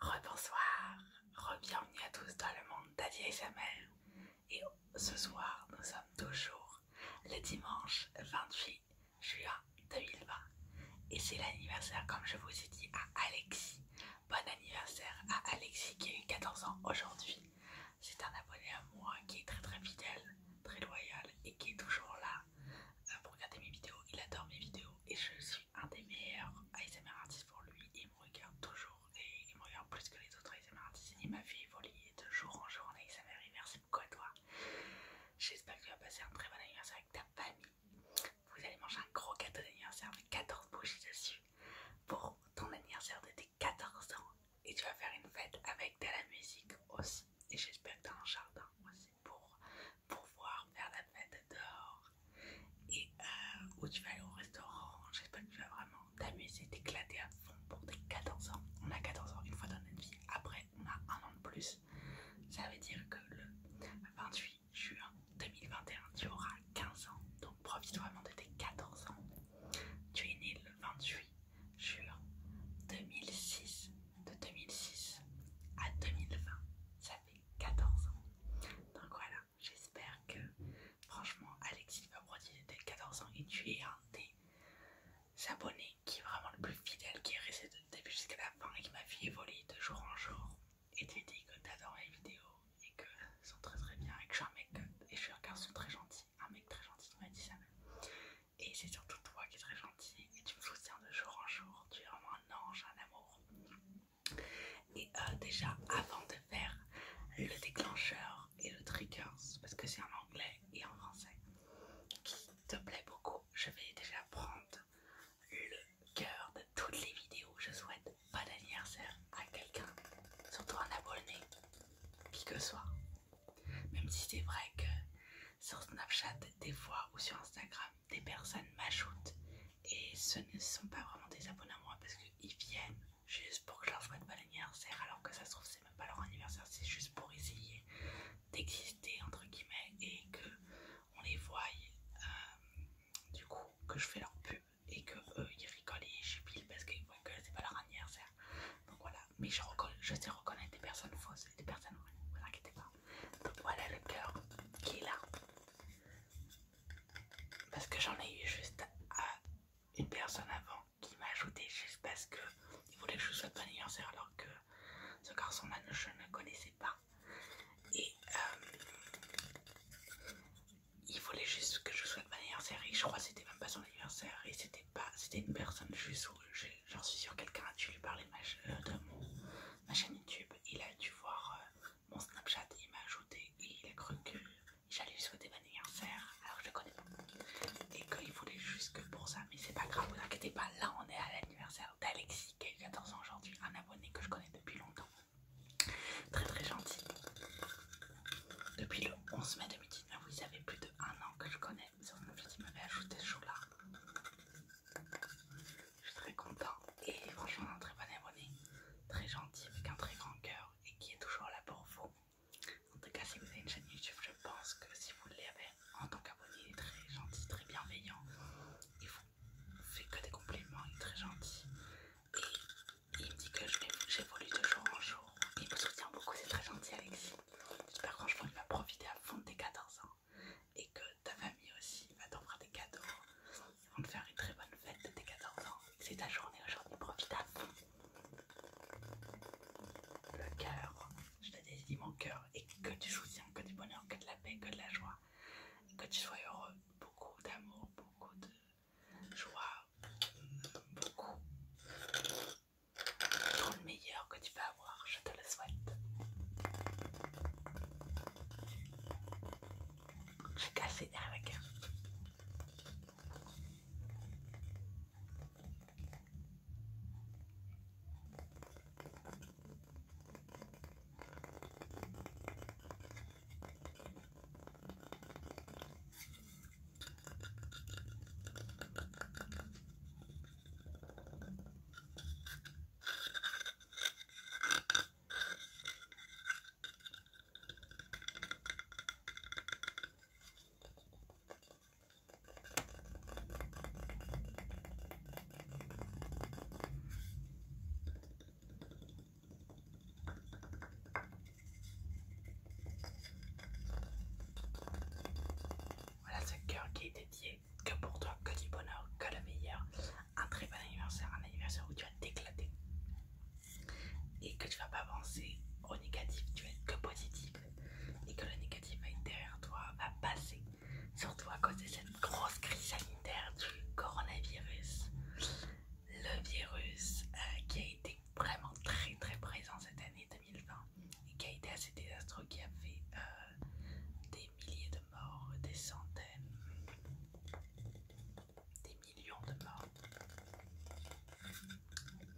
Rebonsoir, re à tous dans le monde et sa mère et ce soir nous sommes toujours le dimanche 28 juin 2020 et c'est l'anniversaire comme je vous ai dit à Alexis. Bon anniversaire à Alexis qui a eu 14 ans aujourd'hui. C'est un abonné à moi qui est très très fidèle, très loyal et qui est toujours là euh, pour regarder mes vidéos. Il adore mes vidéos et je suis un des meilleurs ASMR artistes pour lui. Il me regarde toujours et il me regarde plus que les autres ASMR artistes. et m'a fait évoluer de jour en jour en ASMR et merci beaucoup à toi. J'espère que tu vas passer un très bon anniversaire avec ta famille. Vous allez manger un gros gâteau d'anniversaire avec 14 bougies dessus pour ton anniversaire de tes 14 ans. Et tu vas faire une fête avec de la musique aussi. Et j'espère que tu as un jardin aussi pour pouvoir faire la fête et euh, où tu vas aller au restaurant, j'espère que tu vas vraiment t'amuser, t'éclater à fond pour tes 14 ans. On a 14 ans une fois dans notre vie, après on a un an de plus. Ça veut dire que le 28 juin 2021, tu auras 15 ans, donc profite vraiment de tes 14 ans. Tu es né le 28 juin 2006, de 2006 à 2020. J'avais 14 ans. Donc voilà, j'espère que franchement Alexis Pabrodier de 14 ans et tu es un des abonnés qui est vraiment le plus fidèle, qui est resté de début jusqu'à la fin et qui m'a fait évoluer de jour en jour. Et tu dis que t'adores mes vidéos et que sont très très bien et que je suis un mec et je suis un garçon très gentil, un mec très gentil m'as dit ça même. Et c'est surtout toi qui es très gentil et tu me soutiens de jour en jour, tu es vraiment un ange, un amour. Et euh, déjà, avant de faire le déclencheur et le trigger, parce que c'est en anglais et en français, qui te plaît beaucoup, je vais déjà prendre le cœur de toutes les vidéos. Je souhaite bon anniversaire à quelqu'un, surtout un abonné, qui que soit. Même si c'est vrai que sur Snapchat, des fois, ou sur Instagram, des personnes m'ajoutent et ce ne sont pas vraiment des abonnés à moi parce qu'ils viennent juste pour que je leur souhaite pas anniversaire alors que ça se trouve c'est même pas leur anniversaire, c'est juste pour essayer d'exister entre guillemets et que on les voie euh, du coup que je fais leur pub et que eux ils rigolent et jubilent parce qu'ils voient que c'est pas leur anniversaire donc voilà mais je, je sais reconnaître des personnes fausses et des personnes vraies, vous inquiétez pas donc voilà le cœur qui est là parce que j'en ai eu juste à une personne avant qui m'a ajouté juste parce que il voulait que je sois souhaite mon anniversaire alors que ce garçon-là je ne connaissais pas. Et euh, il voulait juste que je souhaite mon anniversaire et je crois que c'était même pas son anniversaire et c'était pas c'était une personne juste où j'en suis sur quelqu'un, dû lui parler de ma, euh, ma chaîne YouTube, il a dû voir euh, mon Snapchat, il m'a ajouté et il a cru que j'allais lui souhaiter mon anniversaire alors que je le connais pas et qu'il voulait juste que pour ça, mais c'est pas grave, vous inquiétez pas, là on est à l'anniversaire d'Alexis qui a 14 ans aujourd'hui, un abonné que je connais depuis longtemps, très très gentil, depuis le 11 mai 2019, vous savez plus de un an que je connais, il m'avait ajouté ce jour là je suis très content et franchement un très bon abonné, très gentil avec un très grand cœur et qui est toujours là pour vous. En tout cas si vous avez une chaîne YouTube je pense que si vous l'avez en tant qu'abonné il est très gentil, très bienveillant. Il vous fait que des compliments, il est très gentil. Et il me dit que j'évolue de jour en jour. Il me soutient beaucoup, c'est très gentil Alexis. J'espère franchement qu'il va profiter à fond de tes 14 ans. Et que ta famille aussi va t'offrir des cadeaux. On te faire une très bonne fête de tes 14 ans. C'est ta journée aujourd'hui, profite à Le cœur, je te désire mon cœur et que tu soutiens que du bonheur, que de la paix, que de la joie. Que tu sois heureux, beaucoup d'amour, beaucoup de joie, beaucoup. Tout le meilleur que tu vas avoir, je te le souhaite. J'ai cassé avec. Voilà ce cœur qui est dédié que pour toi, que du bonheur, que le meilleur un très bon anniversaire, un anniversaire où tu vas t'éclater et que tu vas pas avancer au négatif, tu vas être que positif et que le négatif va être derrière toi, va passer, surtout à cause de cette grosse crise sanitaire du coronavirus, le virus euh, qui a été vraiment très très présent cette année 2020 et qui a été assez désastreux, qui a fait euh, des milliers de des centaines, des millions de morts.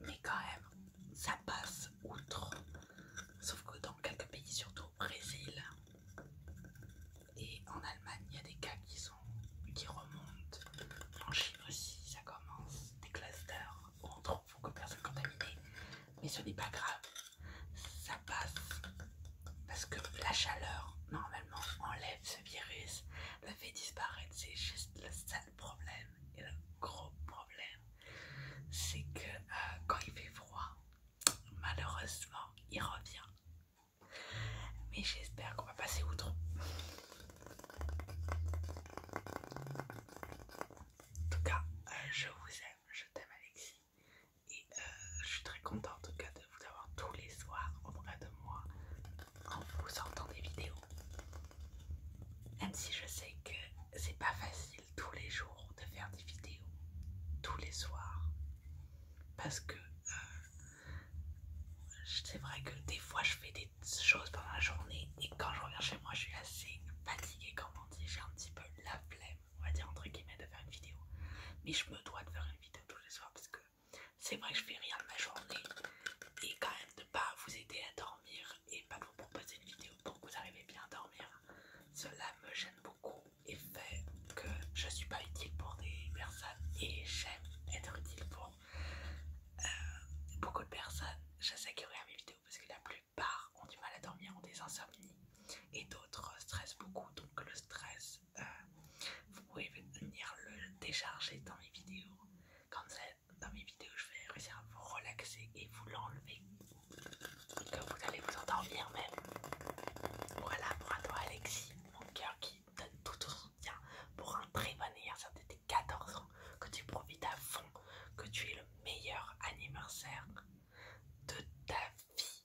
Mais quand même, ça passe outre. Sauf que dans quelques pays, surtout au Brésil et en Allemagne, il y a des cas qui, sont, qui remontent. En Chine aussi, ça commence. Des clusters où on trouve beaucoup de personnes contaminées. Mais ce n'est pas grave parce que la chaleur normalement enlève ce virus, le fait disparaître. C'est juste le seul problème et le gros problème, c'est que euh, quand il fait froid, malheureusement, il revient. Mais j'espère qu'on va passer outre. En tout cas, euh, je vous aime, je t'aime Alexis. Et euh, je suis très contente en tout cas de vous avoir tous les soirs auprès de moi en vous sortant des vidéos. Même si je sais que c'est pas facile tous les jours de faire des vidéos, tous les soirs. Parce que euh, c'est vrai que des fois je fais des choses pendant la journée et quand je reviens chez moi je suis assez fatiguée, comme on dit, j'ai un petit peu la flemme on va dire entre guillemets, de faire une vidéo. Mais je me dois de faire une vidéo tous les soirs parce que c'est vrai que je fais rien de ma journée et quand même de pas vous aider à dormir et pas vous proposer une vidéo pour que vous arrivez bien à dormir. Cela me gêne beaucoup et fait que je suis pas utile pour des personnes et j'aime être utile pour euh, beaucoup de personnes. Je sais que mes vidéos parce que la plupart ont du mal à dormir, ont des insomnies et d'autres stressent beaucoup donc le stress euh, vous pouvez venir le décharger dans mes vidéos. Comme c'est dans mes vidéos, je vais réussir à vous relaxer et vous l'enlever. Que vous allez vous endormir même. Voilà pour à toi Alexis, mon cœur qui donne tout ton soutien pour un très bon anniversaire de tes 14 ans. Que tu profites à fond, que tu es le meilleur anniversaire de ta vie.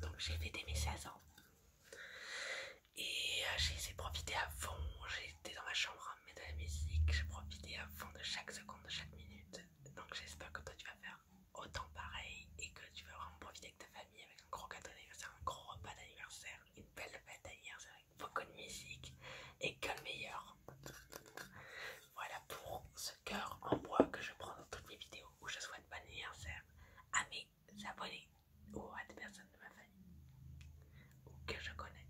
Donc j'ai fêté mes 16 ans. Et euh, j'ai essayé profiter à fond, j'étais dans ma chambre à mettre de la musique, j'ai profité à fond de chaque seconde, de chaque minute. Donc j'espère que toi tu vas faire autant pareil et que tu vas vraiment profiter avec ta famille avec un gros cadeau d'anniversaire, un gros repas d'anniversaire, une belle fête d'anniversaire avec beaucoup de musique et que le meilleur. Voilà pour ce cœur en bois que je prends dans toutes mes vidéos je souhaite bon anniversaire à mes abonnés ou à des personnes de ma famille ou que je connais,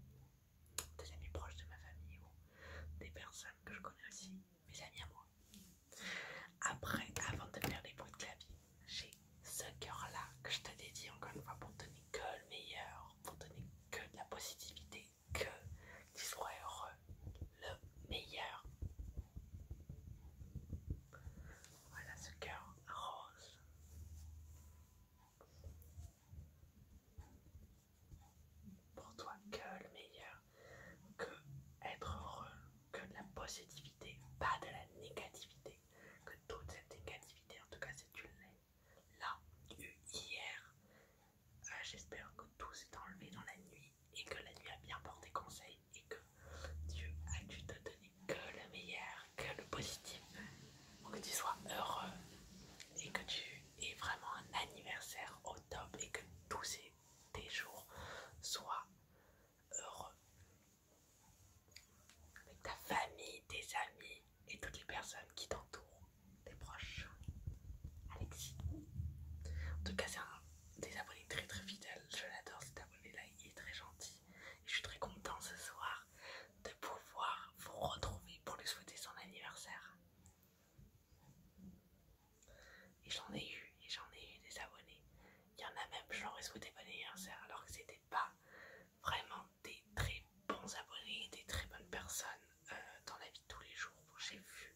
des amis proches de ma famille ou des personnes que je connais aussi, mes amis à moi. Après, avant de faire les bruits de clavier, j'ai ce cœur là que je te dédie encore une fois pour donner que le meilleur, pour donner que de la positivité, que tu sois heureux, le meilleur. Voilà ce cœur rose. Pour toi, que le meilleur, que être heureux, que de la positivité, pas de la négativité, que toute cette négativité, en tout cas c'est une là, eu hier, euh, j'espère que tout s'est enlevé dans la nuit et que la nuit a bien porté conseil et que Dieu a dû te donner que le meilleur, que le positif pour que tu sois heureux et que tu aies vraiment un anniversaire au top et que tous tes jours soient heureux avec ta famille, tes amis et toutes les personnes qui t'entourent, tes proches. Alexis. En tout cas, c'est un des abonnés très très fidèles. Je l'adore cet abonné-là, il est très gentil. Et je suis très content ce soir de pouvoir vous retrouver pour lui souhaiter son anniversaire. Et j'en ai eu, et j'en ai eu des abonnés. Il y en a même, je ai souhaité bon anniversaire alors que c'était pas vraiment des très bons abonnés, des très bonnes personnes euh, dans la vie de tous les jours. J'ai vu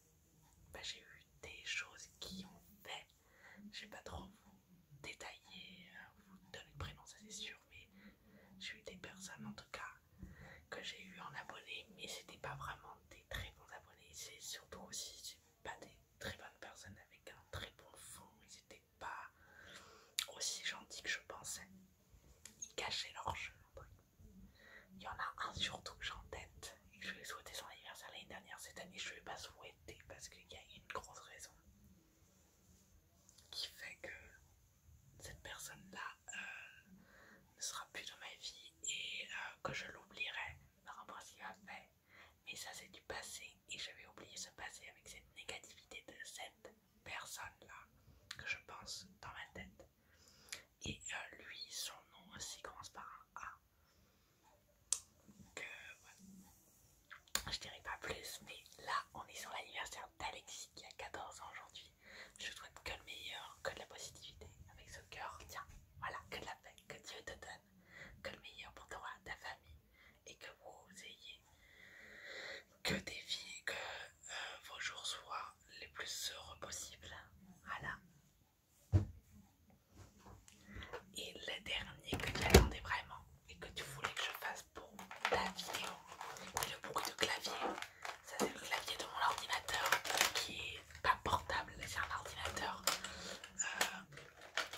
bah, j'ai eu des choses qui ont fait. Je pas trop vous détailler, euh, vous donner le prénom, ça c'est sûr, mais j'ai eu des personnes en tout cas que j'ai eu en abonnés, mais c'était pas vraiment des très bons abonnés, c'est surtout aussi pas des très bonnes personnes avec un très bon fond, ils étaient pas aussi gentils que je pensais, ils cachaient leur jeu il y en a un surtout que j'ai en tête et que je lui souhaiter son anniversaire l'année dernière. Cette année, je ne pas souhaiter parce qu'il y a une grosse raison qui fait que cette personne-là euh, ne sera plus dans ma vie et euh, que je l'oublierai par rapport à ce qu'il fait. Mais ça, c'est du passé et j'avais oublié ce passé avec cette négativité de cette personne-là que je pense dans ma tête. Et euh, lui, son nom aussi euh, commence par un A. Euh, Je dirais pas plus, mais là, on est sur l'anniversaire d'Alexis qui a 14 ans aujourd'hui. Je souhaite que le meilleur, que de la positivité avec ce cœur. Tiens, voilà, que de la paix, que Dieu te donne, que le meilleur pour toi, ta famille, et que vous ayez que des filles, que vos jours soient les plus heureux possibles. Voilà, et le dernier que tu attendais vraiment et que tu voulais que je fasse pour ta vidéo, le bruit de clavier. Ça c'est le clavier de mon ordinateur qui est pas portable, c'est un ordinateur. Euh,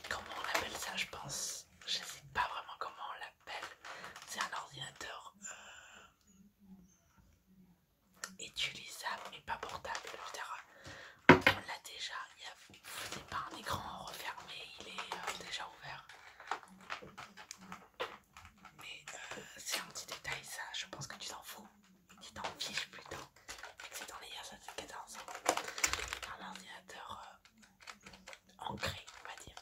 comment on appelle ça je pense Je sais pas vraiment comment on l'appelle. C'est un ordinateur... Euh, utilisable mais pas portable. On l'a déjà, Il n'est pas un écran refermé, il est euh, déjà ouvert. Mais euh, c'est un petit détail, ça je pense que tu t'en fous. Tu t'en fiches plutôt. C'est dans les 14 Un ordinateur euh, ancré, on va dire.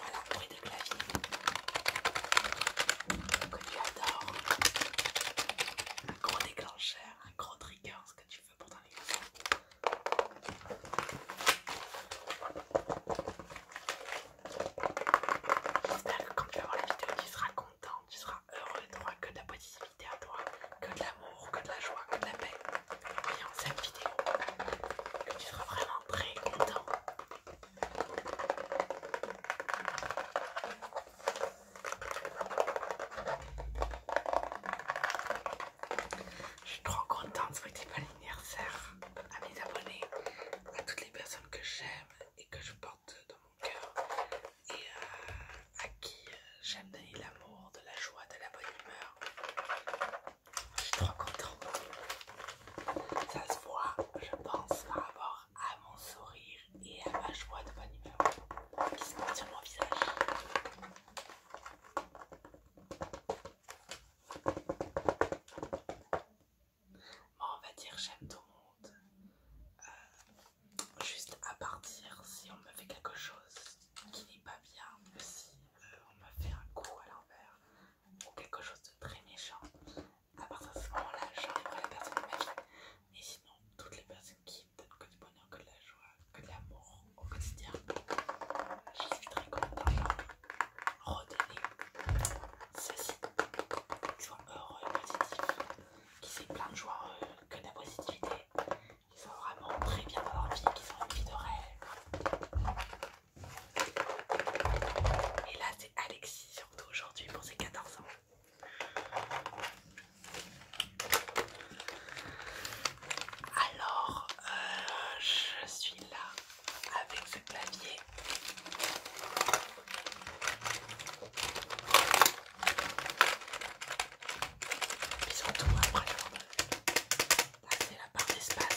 Voilà, bruit de clavier tu adores. Un gros déclencheur, un gros trigger, ce que tu veux pour ton livre. J'espère que quand tu vas voir la vidéo, tu seras content, tu seras heureux, tu n'auras que de la positivité à toi, que de l'amour, que de la joie, que de la paix. Et cette vidéo, que tu seras vraiment très content. Je suis trop contente de petit bon anniversaire à mes abonnés, à toutes les personnes que j'aime et que je porte dans mon cœur et euh, à qui euh, j'aime donner l'amour, de la joie, de la bonne humeur. Je suis trop contente. Ça se voit, je pense, par rapport à mon sourire et à ma joie de bonne humeur qui se porte sur mon visage. Bon, on va dire j'aime tout le monde. Euh, juste à partir, si on me fait quelque chose qui n'est pas bien, si euh, on me fait un coup à l'envers ou quelque chose de très méchant, à partir de ce moment-là, j'envoie la personne de ma vie. Et sinon, toutes les personnes qui donnent que du bonheur, que de la joie, que de l'amour au quotidien, je suis très contente d'en leur redonner ceci. Qu'ils soient heureux et positifs, qu'ils aient plein de joie, euh, que de la positivité, qu'ils soient vraiment très bien dans leur vie, qu'ils ont une vie de rêve. Et là, c'est Alexis, surtout aujourd'hui pour ses 14 ans. Alors, euh, je suis là avec ce clavier. Mais surtout après, la part d'espace.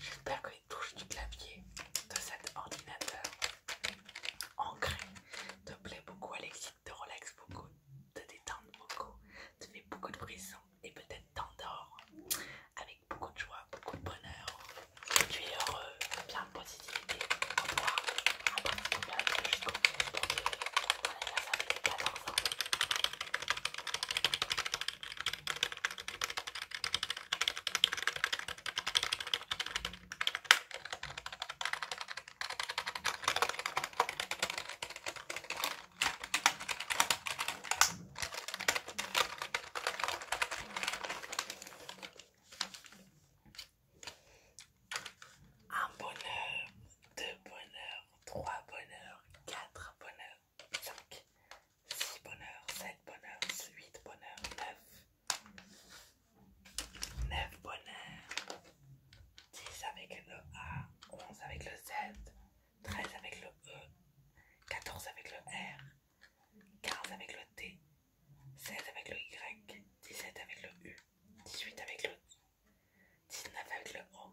J'espère que les touches du clavier de cet ordinateur ancré te plaît beaucoup, Alexis, te relaxe beaucoup, te détendre beaucoup, te fait beaucoup de brisons et peut-être t'endors avec beaucoup de joie, beaucoup de bonheur. Tu es heureux, bien, de positivité. Au revoir. un ça fait 14 ans. Un bonheur, deux bonheurs, trois bonheurs, quatre bonheurs. 5, 6 bonheurs, 7 bonheurs, 8 bonheurs, 9, 9 bonheurs, 10 avec le A, 11 avec le Z, 13 avec le E, 14 avec le R, 15 avec le T, 16 avec le Y, 17 avec le U, 18 avec le I, 19 avec le O,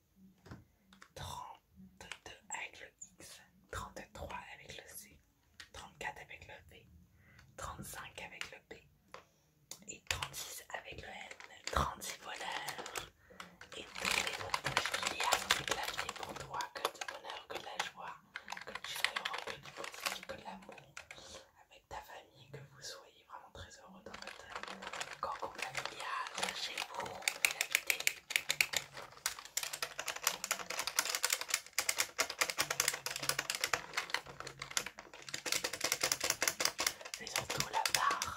32 avec le X, 33 avec le C, 34 avec le V, 35 avec le P et 36 avec le N. 36 voleurs et tous les voleurs y a pour toi, que du bonheur, que de la joie, que tu sois heureux, que du positif, que de l'amour avec ta famille, que vous soyez vraiment très heureux dans votre corps convivial chez vous, la mais surtout la barre.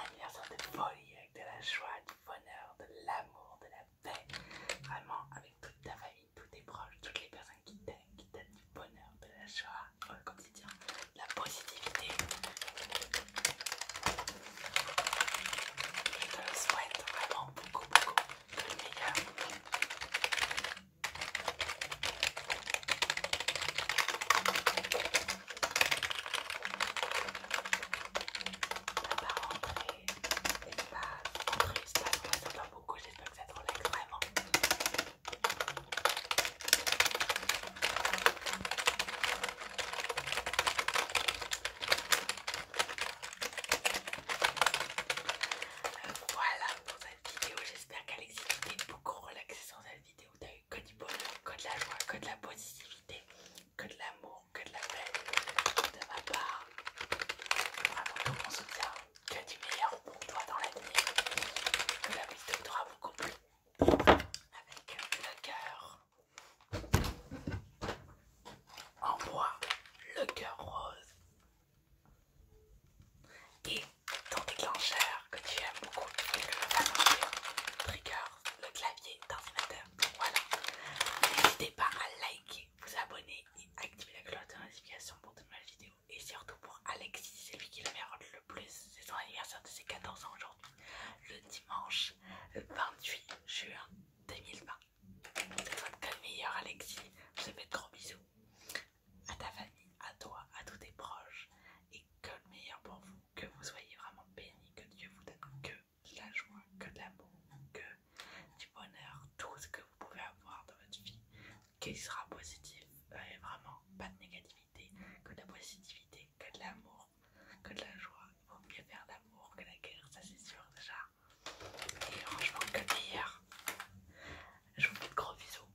Anniversaire de folie avec de la joie, du bonheur, de l'amour, de la mais vraiment avec toute ta famille, tous tes proches, toutes les personnes qui t'aiment, qui t'aiment du bonheur, de la joie tu quotidien, de la positivité. Je te souhaite vraiment beaucoup, beaucoup de meilleur. J'espère qu'on va beaucoup, j'espère que ça te relaxe vraiment. voilà pour cette vidéo, j'espère qu'Alexis t'es beaucoup relaxé sur cette vidéo. T'as eu que du bonheur, que de la joie, que de la positivité, que de l'amour, que de la paix de ma part. Vraiment tout mon soutien, que du meilleur pour toi dans la l'avenir. Que la vie te doit beaucoup plus avec le cœur en bois, le cœur rose et ton déclencheur que tu aimes beaucoup, le trigger, le clavier d'ordinateur. Voilà, n'hésitez pas à liker vous abonner et activer la cloche de notification pour de nouvelles vidéos. Et surtout pour Alexis, c'est lui qui le mérite le plus. C'est son anniversaire de ses 14 ans aujourd'hui, le dimanche 28 juin 2020. que le meilleur Alexis. Je vous fais de gros bisous à ta famille, à toi, à tous tes proches. Et que le meilleur pour vous, que vous soyez vraiment bénis, que Dieu vous donne que de la joie, que de l'amour, que du bonheur, tout ce que vous pouvez avoir dans votre vie, qui sera positif, et euh, vraiment pas de négativité, que de la positivité, que de l'amour, que de la joie. Il vaut mieux faire l'amour que la guerre, ça c'est sûr déjà. Et franchement, que de Je vous fais de gros bisous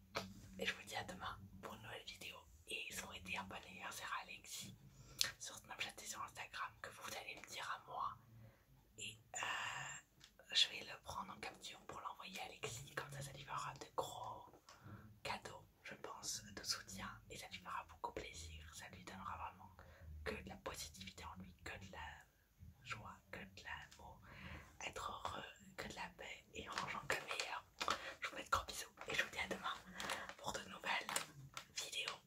et je vous dis à demain pour une nouvelle vidéo. Et été un bon anniversaire à Alexis sur Snapchat et sur Instagram que vous allez me dire à moi et euh, je vais le prendre en capture pour l'envoyer à Alexis, comme ça ça lui fera de gros cadeaux, je pense, de soutien et ça lui fera beaucoup plaisir, ça lui donnera vraiment que de la positivité en lui, que de la joie, que de l'amour, être heureux, que de la paix et rangeant que meilleur. Je vous fais de gros bisous et je vous dis à demain pour de nouvelles vidéos.